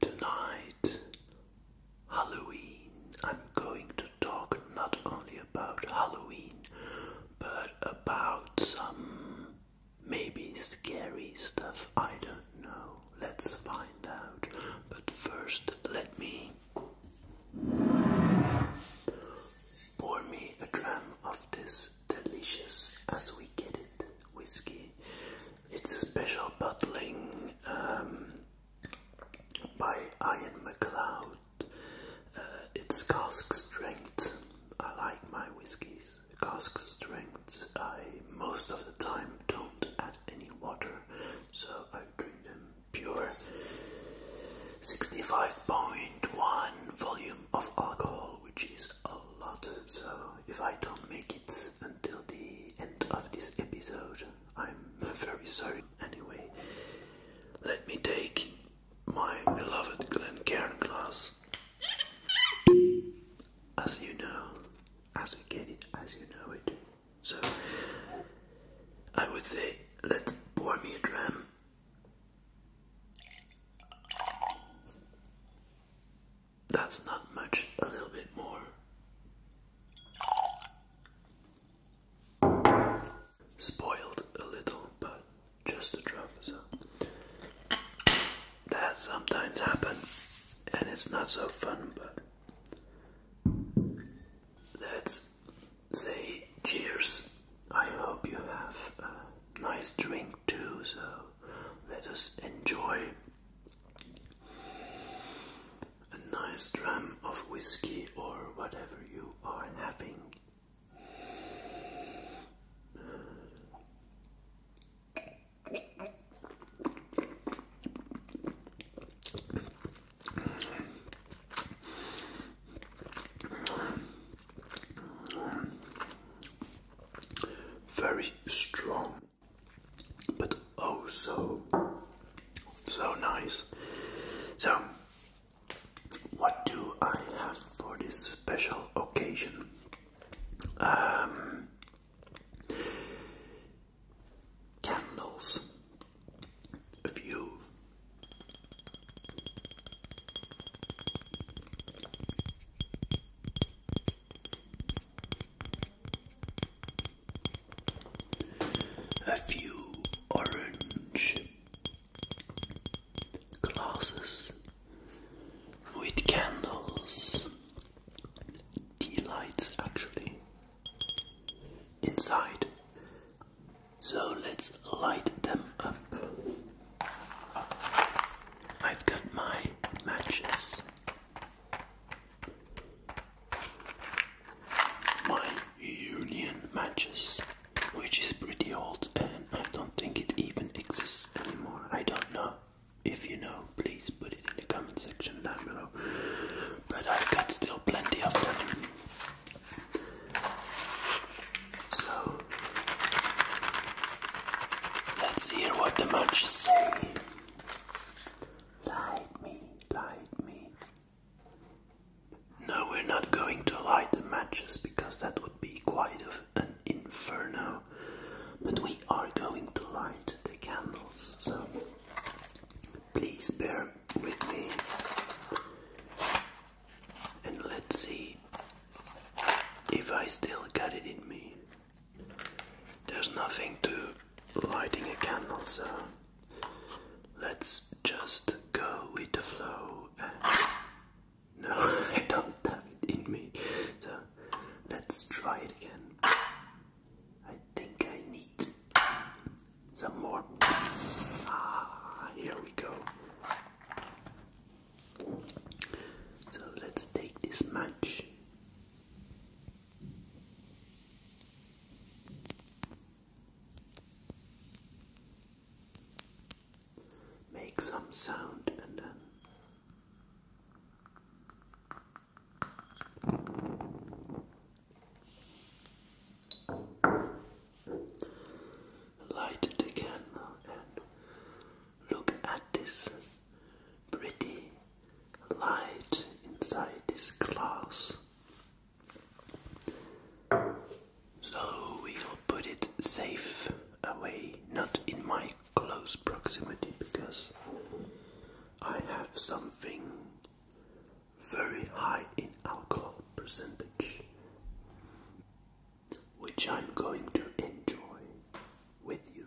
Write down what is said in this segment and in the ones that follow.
Tonight, Halloween, I'm going to talk not only about Halloween, but about some maybe scary stuff. I don't know. Let's find out. But first, let me pour me a dram of this delicious as we get it whiskey. It's a special bottling um, by Ian Macleod. Uh, it's cask strength. I like my whiskies. Cask strength. I most of the time don't add any water, so I drink them pure. 65.1 volume of alcohol, which is a lot, so if I don't make it until the end of this episode, I'm very sorry. Anyway, let me take my beloved Glencairn glass. As you know, as we get it, as you know it. So, I would say, let's pour me a dram. That's not much, a little bit more. Spoiled a little, but just a drop. So that sometimes happens, and it's not so fun, but let's say cheers. I hope you have a nice drink too, so let us enjoy a nice dram of whiskey or whatever you are having. Very strong but oh so so nice. So what do I have for this special occasion? Um, candles, a few. A few orange glasses with candles, tea lights actually, inside. So let's light them up. I've got my matches. My union matches, which is pretty old and I don't think it even exists anymore. I don't know. If you know, please put it in the comment section down below. But I've got still plenty of them. So, let's hear what the matches say. Light me, light me. No, we're not going to light the matches because that would be quite an inferno. But we are going to light the candles, so please bear with me. And let's see if I still got it in me. There's nothing to lighting a candle, so let's just go with the flow. no, I don't have it in me, so let's try it again. I think I need some more. Ah, here we go. So let's take this match Make some sound and then. Light the candle Look at this pretty light inside this glass. So we'll put it safe away, not in my close proximity, because I have something very high in alcohol percentage, which I'm going to enjoy with you.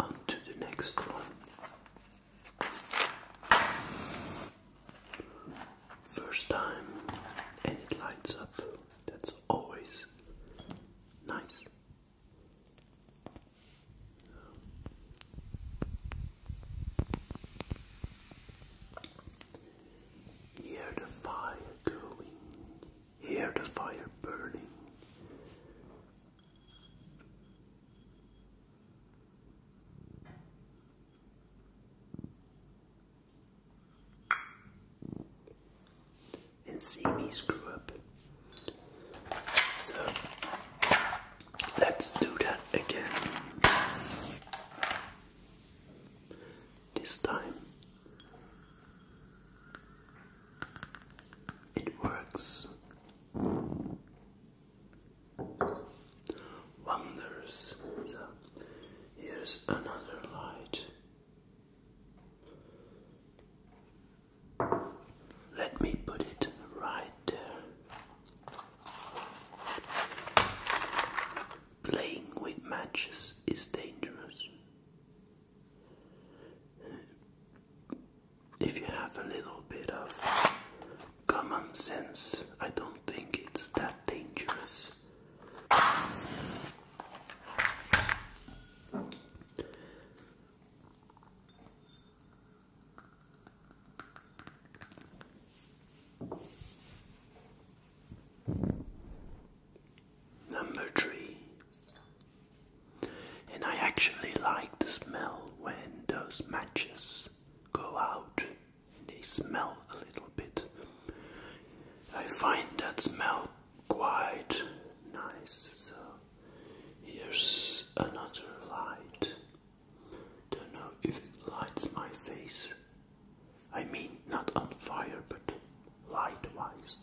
On to the next one. First time, and it lights up. That's always nice. Hear the fire going, hear the fire burning and see me screw up. So let's do that again. This time it works. Wonders. So Here's another light. Let me put it right there. Playing with matches is dangerous. If you have a little bit of common sense, I don't think it's that dangerous. Number three, and I actually like the smell when those matches go out they smell a little bit. I find that smell quite nice. So here's another light. Don't know if it lights my face. I mean, not on fire, but light wise.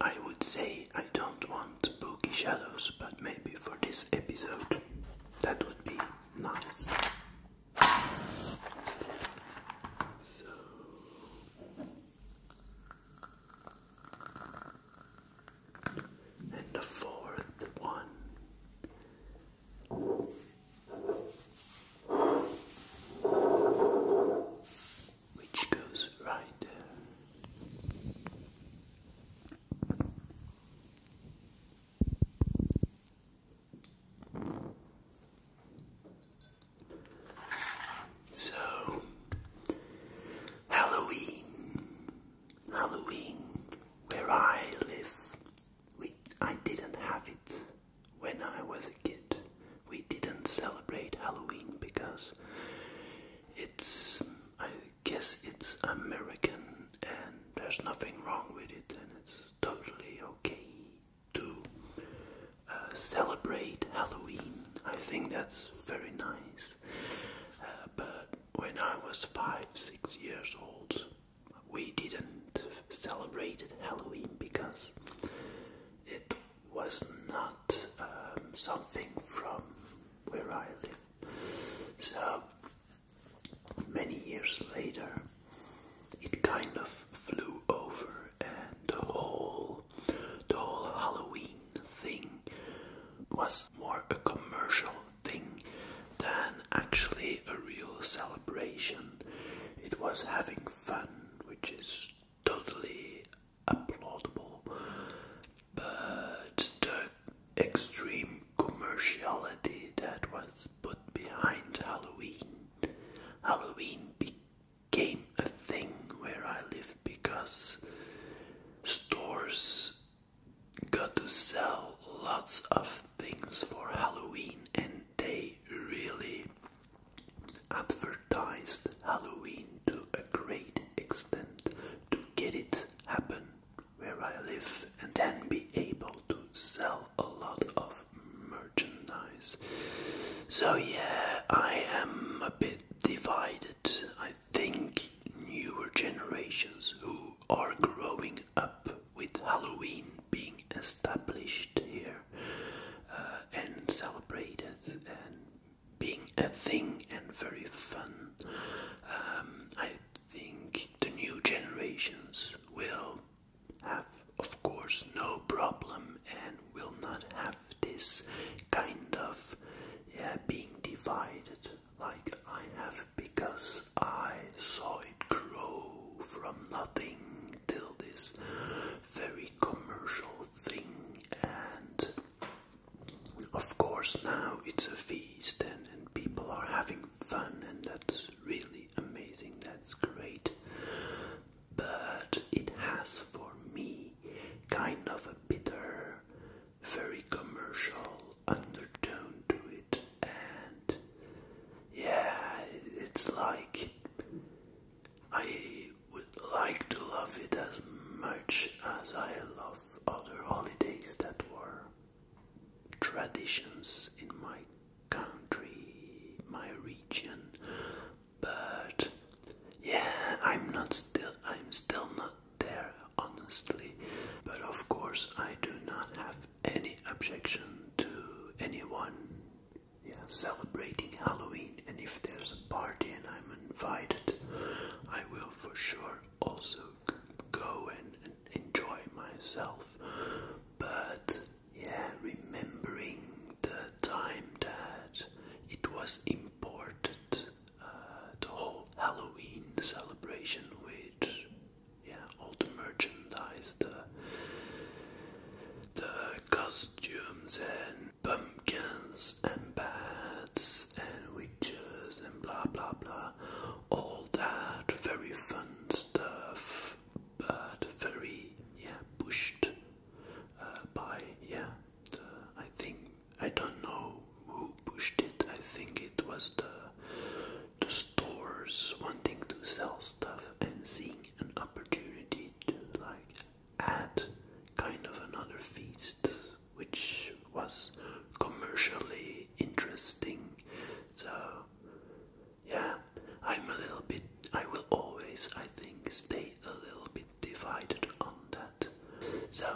I would say I don't want spooky shadows, but maybe for this episode that would be nice. So and the fourth one which goes right there so, Halloween, Halloween, where I live, we, I didn't have it when I was a kid. We didn't celebrate Halloween because it's, I guess it's American and there's nothing wrong with it, and it's totally okay to uh, celebrate Halloween. I think that's very nice. Uh, but when I was five, six years old, we didn't celebrate Halloween because it was not um, something from where I live. So many years later, it kind of flew over, and the whole, the whole Halloween thing was more a commercial thing than actually a real celebration. It was having fun, which is totally applaudable, but the extreme commerciality that was put behind Halloween. Halloween became a thing where I live because stores got to sell lots of things for Halloween and they really advertised Halloween to a great extent to get it happen where I live and then be able to sell a lot of merchandise. So, yeah, I am a bit divided. I think newer generations who are growing up with Halloween being established here uh, and celebrated and being a thing and very fun. Um, I think the new generations will have, of course, no problem and will not have this kind of yeah, being divided like I have because I saw it grow from nothing till this very commercial thing and of course, now it's a feast and, and people are having fun, and that's really amazing, that's great. But it has for me kind of a bitter, very commercial undertone to it, and yeah, it's like I would like to love it as much as I love other holidays that were traditions in my country, my region, but yeah, I'm not still, I'm still not there, honestly. But of course, I do not have any objection to anyone yeah, celebrating Halloween, and if there's a party and I'm invited, I will for sure also go and, enjoy myself. But yeah, remembering the time that it was important, uh, the whole Halloween celebration with yeah all the merchandise, the the costumes and pumpkins and bats and witches and blah blah blah. All that very fun stuff, but very yeah pushed uh, by yeah. I think I don't know who pushed it. I think it was the the stores wanting to sell stuff and seeing an opportunity to like add kind of another feast which was commercially interesting. So, yeah, I'm a little bit, I will always, I think, stay a little bit divided on that. So,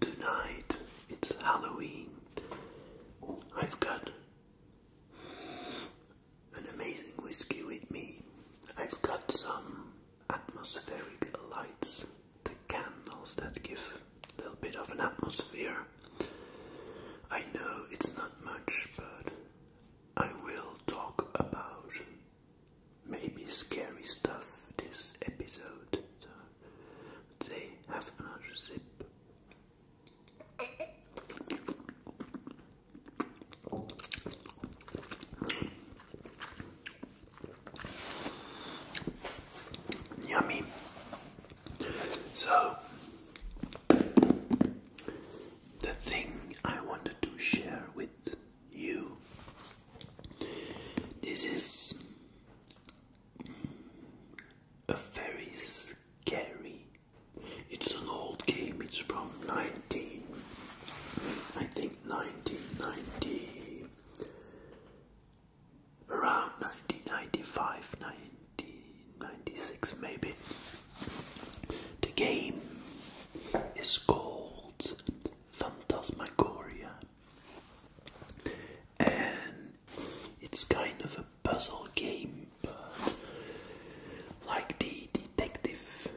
tonight it's Halloween. I've got an amazing whiskey with me. I've got some atmospheric lights, the candles that give a little bit of an atmosphere. I know it's not much, but I will talk about maybe scary stuff this episode. So, let's say, have another sip. Yummy. So, the thing I wanted to share with you this is a very scary. It's an old game. It's from 19 I think 1990 around 1995, maybe. The game is called Phantasmagoria, and it's kind of a puzzle game, like the detective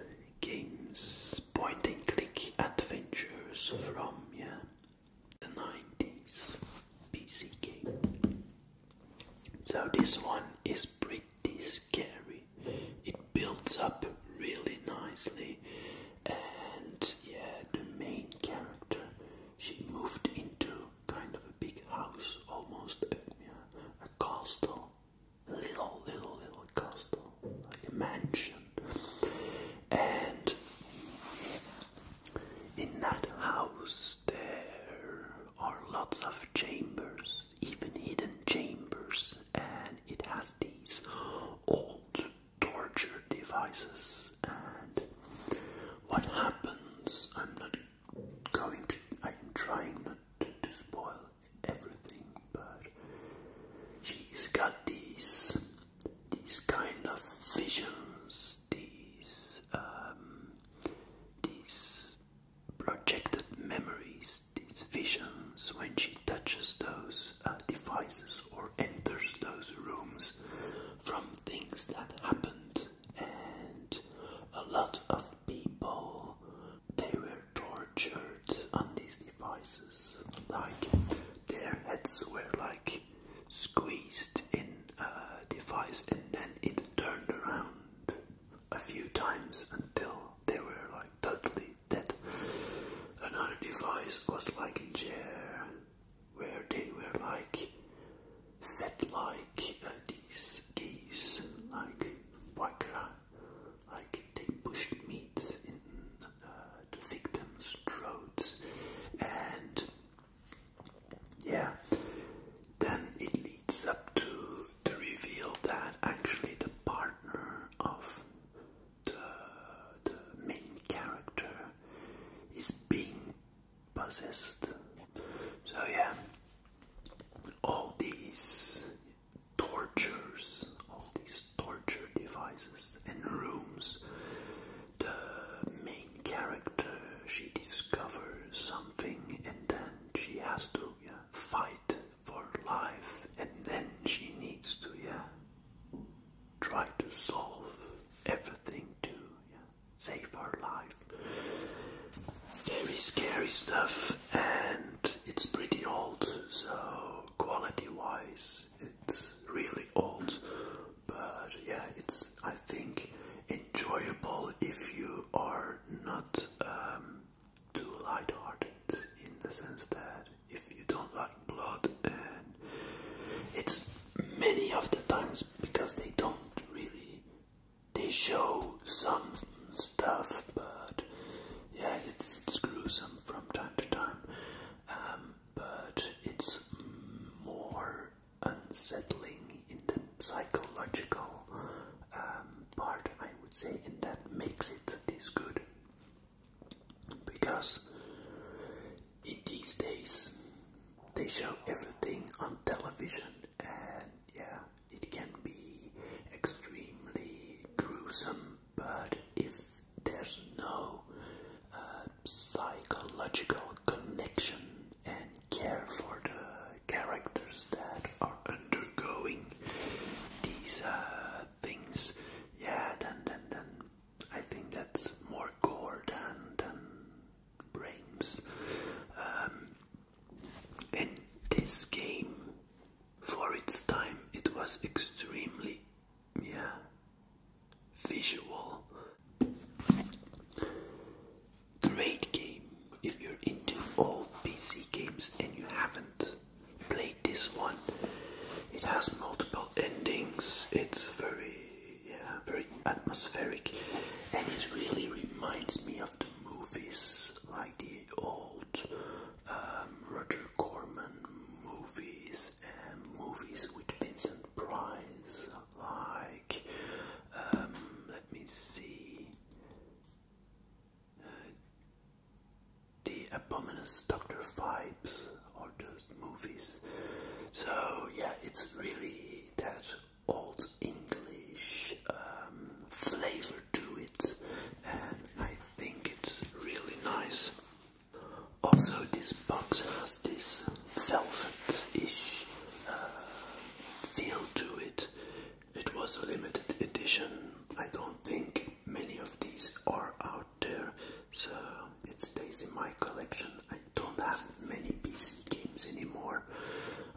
games, point and click adventures from yeah, the 90s PC game. So this one is pretty scary. It builds up really nicely, and yeah, the main character she moved into kind of a big house, almost uh, yeah, a castle, a little, little, little castle, like a mansion. And in that house, there are lots of chambers, even hidden chambers, and it has these old torture devices. And what happens? I'm not going to, I'm trying not to, spoil everything, but she's got these these kind of visions, these um, these projected memories, these visions when she touches those uh, devices or enters those rooms from things that happened and a lot of people they were tortured on these devices. Like their heads were like squeezed in a device and then it turned around a few times until they were like totally dead. Another device was like a chair where they were like fed like uh, these geese, like Wakra like they pushed meat in uh, the victims' throats, and yeah, then it leads up to the reveal that actually the partner of the, the main character is being possessed. So, yeah, all these tortures, all these torture devices and rooms, the main character she discovers something and then she has to yeah, fight for life and then she needs to yeah try to solve everything to yeah, save her life. Very scary stuff and it's pretty old so quality wise it's really old, but yeah, it's I think enjoyable if you are not um, too light-hearted in the sense that if you don't like blood and it's many of the times because they don't really they show some stuff but yeah it's it's gruesome from time to time um, but it's more unsettling in the psychological um, part, I would say, and that makes it this good. Because in these days, they show everything on television, and yeah, it can be extremely gruesome but if there's no uh, psychological connection and care for the characters that are undergoing these uh, things, yeah, then, then, then I think that's more gore than, than brains. Um, in this game, for its time, it was extremely yeah, visual. Great game if you're into all PC games and you haven't played this one. It has multiple endings. It's very, yeah, very atmospheric, and it really reminds me of the movies like the old um, Corman movies and movies with Vincent Price, like um, let me see, uh, the Abominous Doctor Vibes are those movies. So yeah, it's really that old English um, flavor to it, and I think it's really nice. Also, this box has this velvet-ish uh, feel to it. It was a limited edition. I don't think many of these are out there, so it stays in my collection. I don't have many PC games anymore.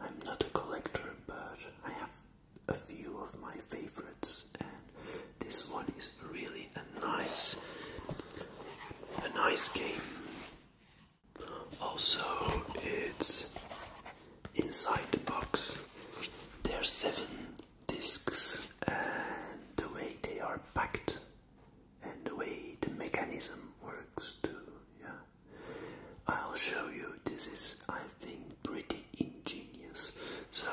I'm not a collector, but I have a few of my favorites this one is really a nice a nice game. Also it's inside the box there are seven discs and the way they are packed and the way the mechanism works too, yeah. I'll show you this is I think pretty ingenious. So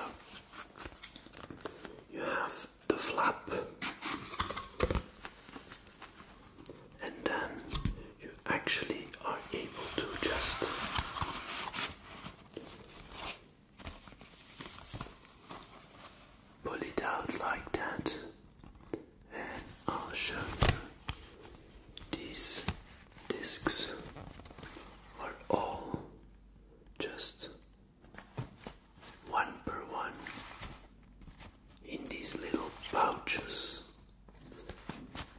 you have the flap, and then you actually are able to just pull it out like that, and I'll show you these discs are all just one per one in these little pouches,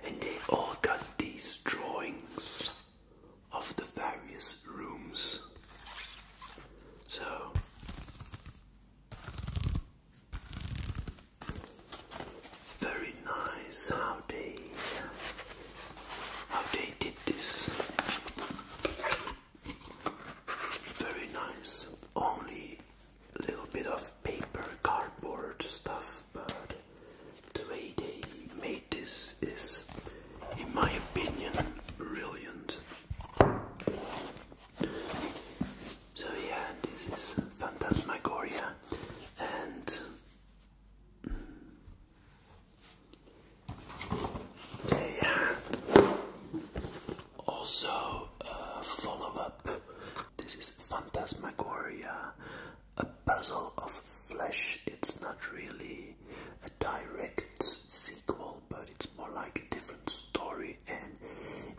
and they all got these drawings of the various rooms. So very nice how they how they I did this. Very nice. Only a little bit of paper, cardboard stuff, but the way they made this is, in my opinion, brilliant. So, yeah, this is Phantasmagoria, and mm, they had also uh, follow up. This is Phantasmagoria, a puzzle of flesh. It's not really a direct sequel, but it's more like a different story, and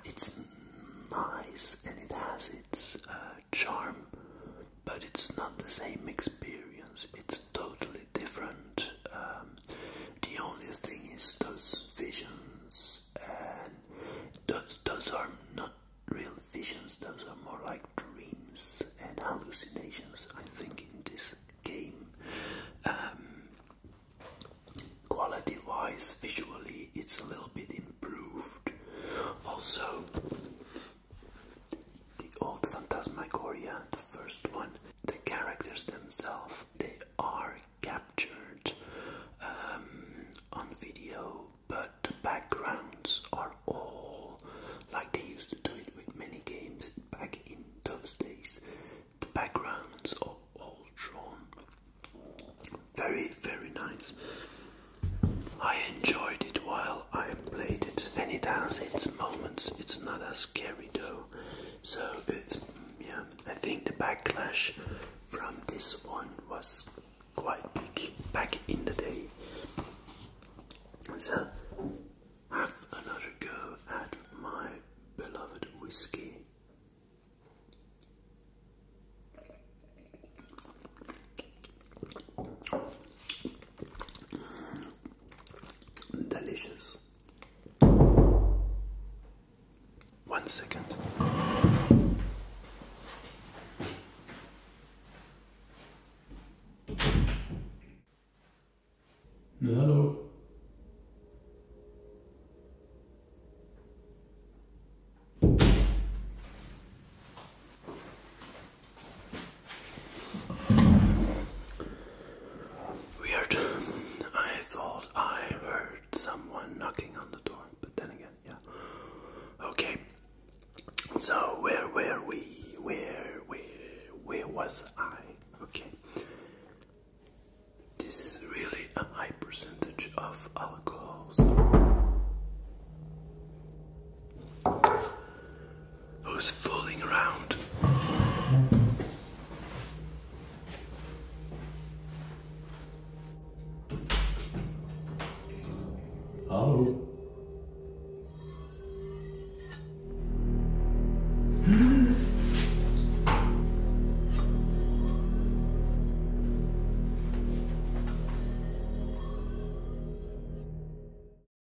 it's nice and it has its uh, charm but it's not the same experience. It's totally different. Um, the only thing is those visions, and those those are not real visions. Those are more like dreams and hallucinations. I think in this game, um, quality-wise, visually, it's a little bit improved. Also, the old Phantasmagoria, the first one, the characters themselves, they are captured um, on video, but the backgrounds are all like they used to do it with many games back in those days. The backgrounds are all drawn. Very, very nice. I enjoyed it while I played it and it has its moments. It's not as scary though. So it's yeah, I think the backlash from this one was quite big back in the day. So have another go at my beloved whiskey. Delicious. One second. Hello. Weird. I thought I heard someone knocking on the door, but then again, yeah. Okay. So where were we? Where where where was I? Okay. This is really a high percentage of alcohols. Who's fooling around? Hello.